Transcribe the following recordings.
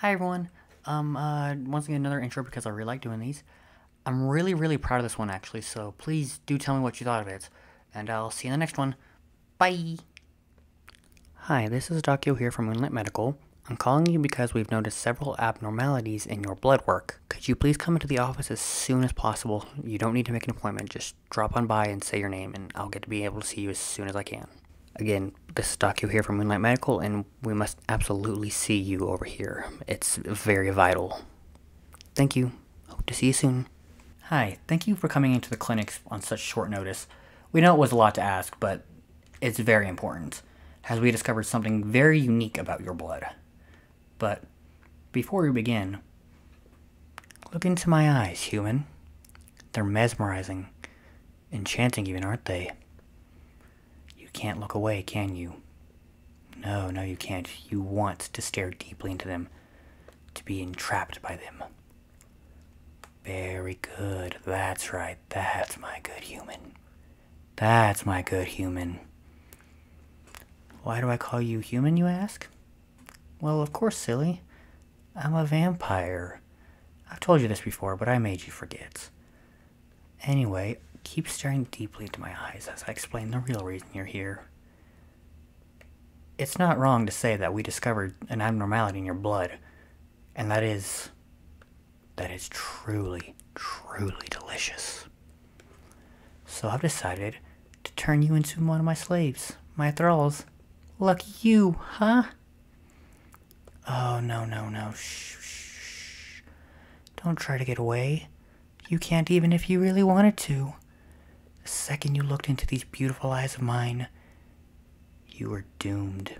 Hi everyone, um, uh, once again another intro because I really like doing these. I'm really, really proud of this one actually, so please do tell me what you thought of it, and I'll see you in the next one. Bye! Hi, this is Docio here from Moonlit Medical. I'm calling you because we've noticed several abnormalities in your blood work. Could you please come into the office as soon as possible? You don't need to make an appointment, just drop on by and say your name and I'll get to be able to see you as soon as I can. Again, this is Doc you here from Moonlight Medical, and we must absolutely see you over here. It's very vital. Thank you. Hope to see you soon. Hi, thank you for coming into the clinic on such short notice. We know it was a lot to ask, but it's very important, as we discovered something very unique about your blood. But before we begin, look into my eyes, human. They're mesmerizing enchanting even, aren't they? You can't look away, can you? No, no, you can't. You want to stare deeply into them, to be entrapped by them. Very good. That's right. That's my good human. That's my good human. Why do I call you human, you ask? Well, of course, silly. I'm a vampire. I've told you this before, but I made you forget. Anyway, keep staring deeply into my eyes as I explain the real reason you're here. It's not wrong to say that we discovered an abnormality in your blood, and that is. that is truly, truly delicious. So I've decided to turn you into one of my slaves, my thralls. Lucky you, huh? Oh, no, no, no. Shh, shh, shh. Don't try to get away. You can't even if you really wanted to. The second you looked into these beautiful eyes of mine, you were doomed.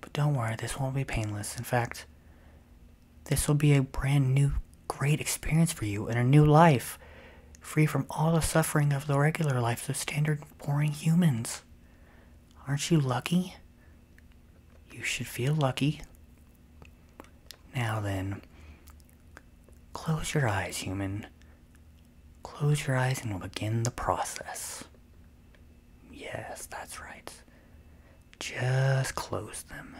But don't worry, this won't be painless. In fact, this will be a brand new, great experience for you in a new life, free from all the suffering of the regular life. of standard Pooring humans. Aren't you lucky? You should feel lucky. Now then, close your eyes, human. Close your eyes and begin the process. Yes, that's right. Just close them.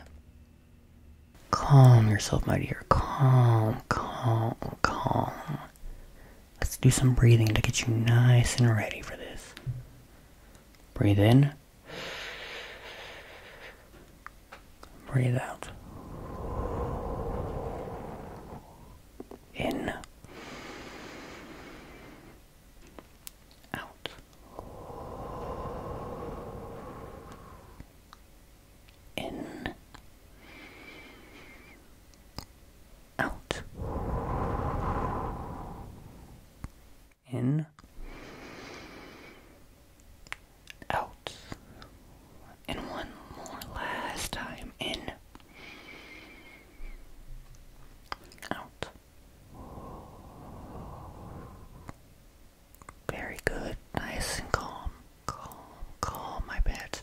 Calm yourself, my dear. Calm, calm, calm. Let's do some breathing to get you nice and ready for this. Breathe in. Breathe out. In. Out. In out. In, out. And one more last time. In, out. Very good, nice and calm. Calm, calm, my pets.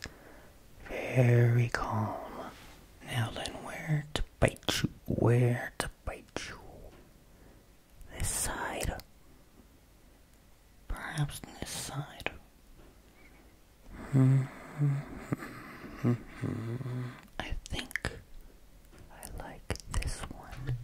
Very calm. Now then, where to bite you? Where to bite you? This side. Perhaps this side. I think I like this one.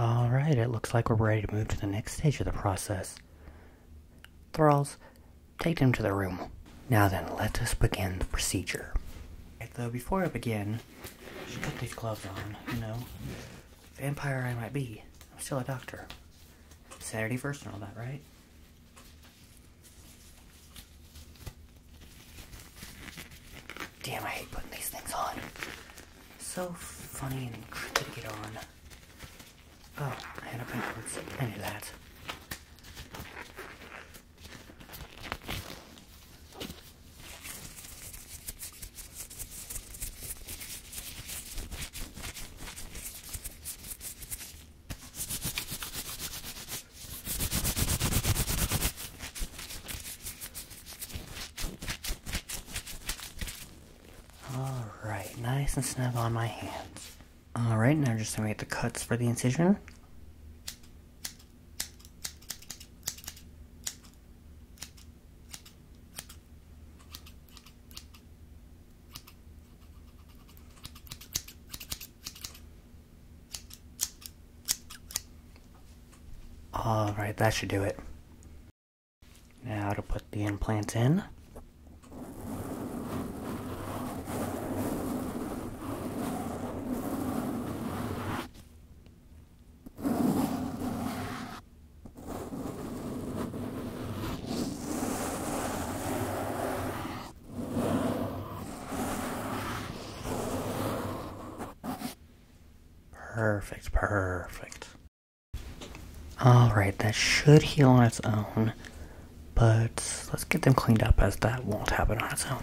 Alright, it looks like we're ready to move to the next stage of the process. Thralls, take them to the room. Now then, let us begin the procedure. though, before I begin, I should put these gloves on, you know vampire I might be, I'm still a doctor. Saturday first and all that, right? Damn, I hate putting these things on. So funny and tricky to get on. Oh, and a backwards. Any of that. Alright, nice and snug on my hands. Alright, now just gonna get the cuts for the incision. All right, that should do it. Now to put the implant in. Perfect, perfect. Alright, that should heal on its own, but let's get them cleaned up as that won't happen on its own.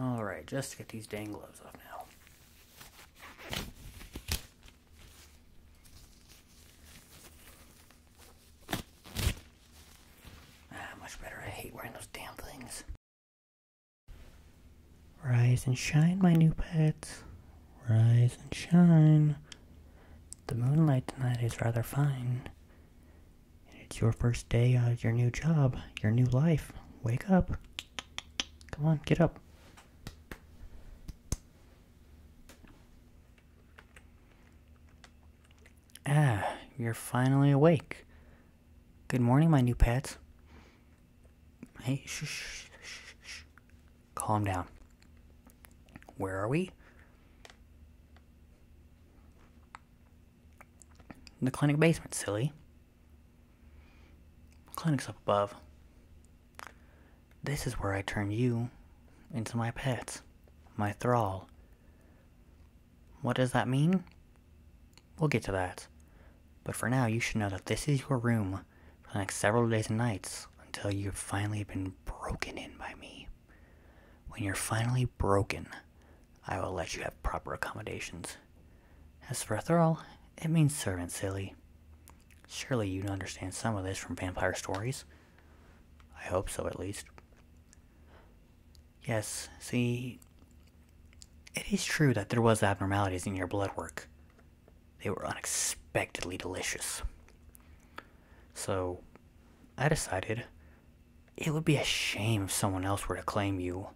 Alright, just to get these dang gloves off now. Ah, much better. I hate wearing those damn things. Rise and shine, my new pets. Rise and shine. The moonlight tonight is rather fine it's your first day of your new job, your new life. Wake up. Come on, get up. Ah, you're finally awake. Good morning, my new pets. Hey, shh, shh, shh, shh. Calm down. Where are we? the clinic basement, silly. clinic's up above. This is where I turn you into my pets, my thrall. What does that mean? We'll get to that. But for now, you should know that this is your room for the next several days and nights until you've finally been broken in by me. When you're finally broken, I will let you have proper accommodations. As for a thrall, it means servant, silly. Surely you understand some of this from vampire stories. I hope so, at least. Yes, see, it is true that there was abnormalities in your blood work. They were unexpectedly delicious. So, I decided it would be a shame if someone else were to claim you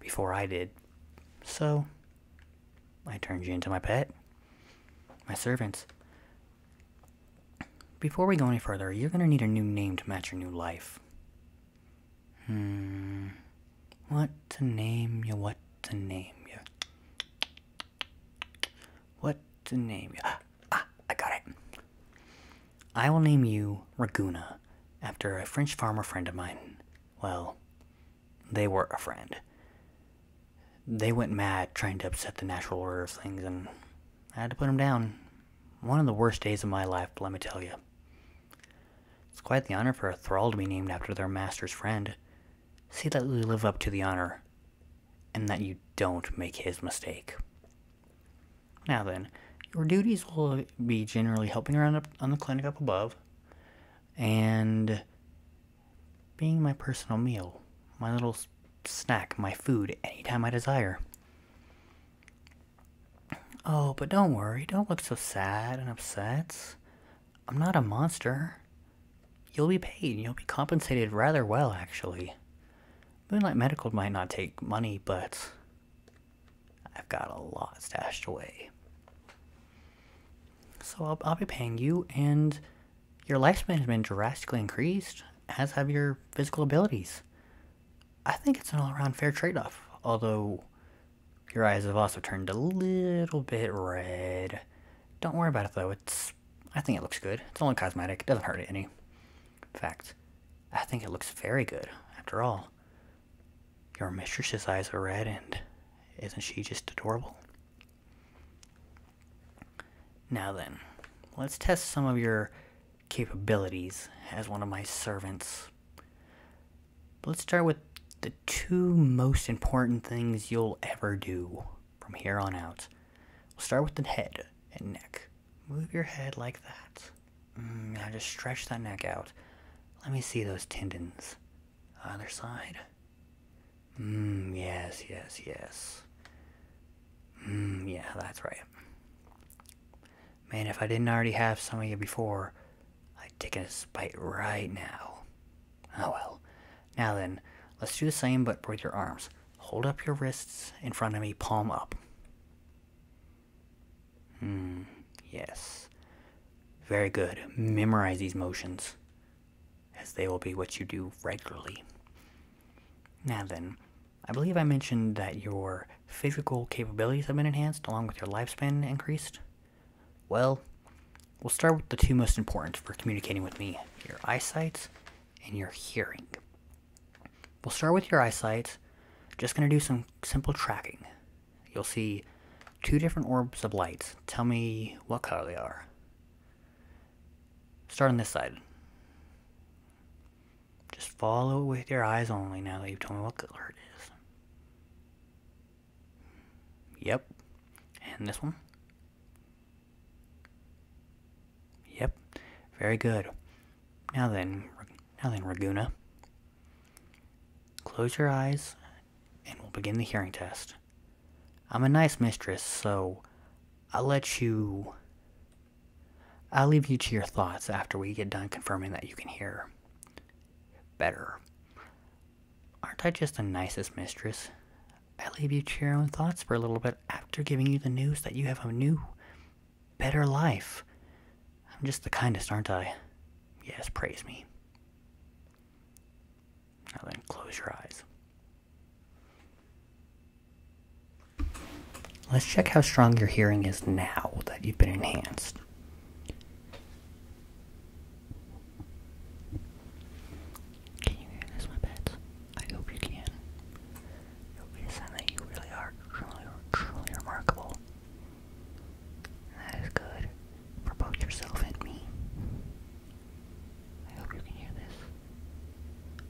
before I did. So, I turned you into my pet, my servants. Before we go any further, you're going to need a new name to match your new life. Hmm. What to name you? What to name you? What to name you? Ah, ah, I got it. I will name you Raguna after a French farmer friend of mine. Well, they were a friend. They went mad trying to upset the natural order of things, and I had to put them down. One of the worst days of my life, let me tell you. It's quite the honor for a thrall to be named after their master's friend. See that we live up to the honor and that you don't make his mistake. Now then, your duties will be generally helping around on the clinic up above and being my personal meal, my little snack, my food any time I desire. Oh, but don't worry, don't look so sad and upset. I'm not a monster. You'll be paid, you'll be compensated rather well, actually. Moonlight Medical might not take money, but I've got a lot stashed away. So I'll, be paying you, and your lifespan has been drastically increased, as have your physical abilities. I think it's an all around fair trade off, although your eyes have also turned a little bit red. Don't worry about it though, it's I think it looks good. It's only cosmetic, it doesn't hurt any. In fact, I think it looks very good, after all. Your mistress's eyes are red, and isn't she just adorable? Now then, let's test some of your capabilities as one of my servants. Let's start with the two most important things you'll ever do from here on out. We'll start with the head and neck. Move your head like that. Mm, now just stretch that neck out. Let me see those tendons. Other side. Mmm, yes, yes, yes. Mmm, yeah, that's right. Man, if I didn't already have some of you before, I'd take a bite right now. Oh well. Now then, let's do the same but with your arms. Hold up your wrists in front of me, palm up. Hmm, yes. Very good. Memorize these motions, as they will be what you do regularly. Now then, I believe I mentioned that your physical capabilities have been enhanced along with your lifespan increased. Well, we'll start with the two most important for communicating with me your eyesight and your hearing. We'll start with your eyesight. Just going to do some simple tracking. You'll see two different orbs of light. Tell me what color they are. Start on this side. Just follow with your eyes only now that you've told me what color it is. Yep. And this one. Yep, very good. Now then, now then, Raguna. Close your eyes, and we'll begin the hearing test. I'm a nice mistress, so I'll let you... I'll leave you to your thoughts after we get done confirming that you can hear better. Aren't I just the nicest mistress? I leave you to your own thoughts for a little bit after giving you the news that you have a new, better life. I'm just the kindest, aren't I? Yes, praise me. Now then, close your eyes. Let's check how strong your hearing is now that you've been enhanced. Can you hear this, my pets? I hope you can. It would be a you really are truly, truly remarkable. that is good for both yourself and me. I hope you can hear this.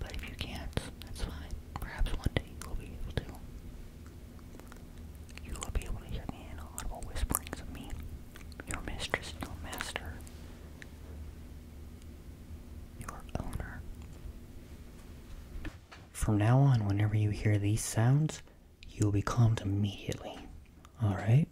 But if you can't, that's fine. Perhaps one day you will be able to. You will be able to hear the inaudible whisperings of me. Your mistress, no master. Your owner. From now on, whenever you hear these sounds, you will be calmed immediately. Alright?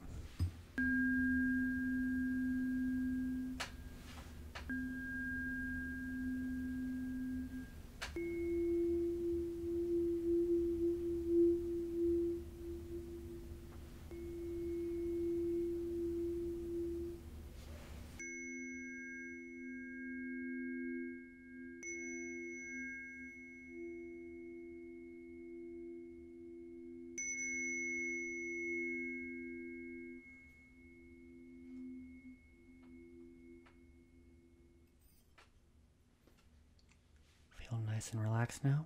Feel nice and relaxed now.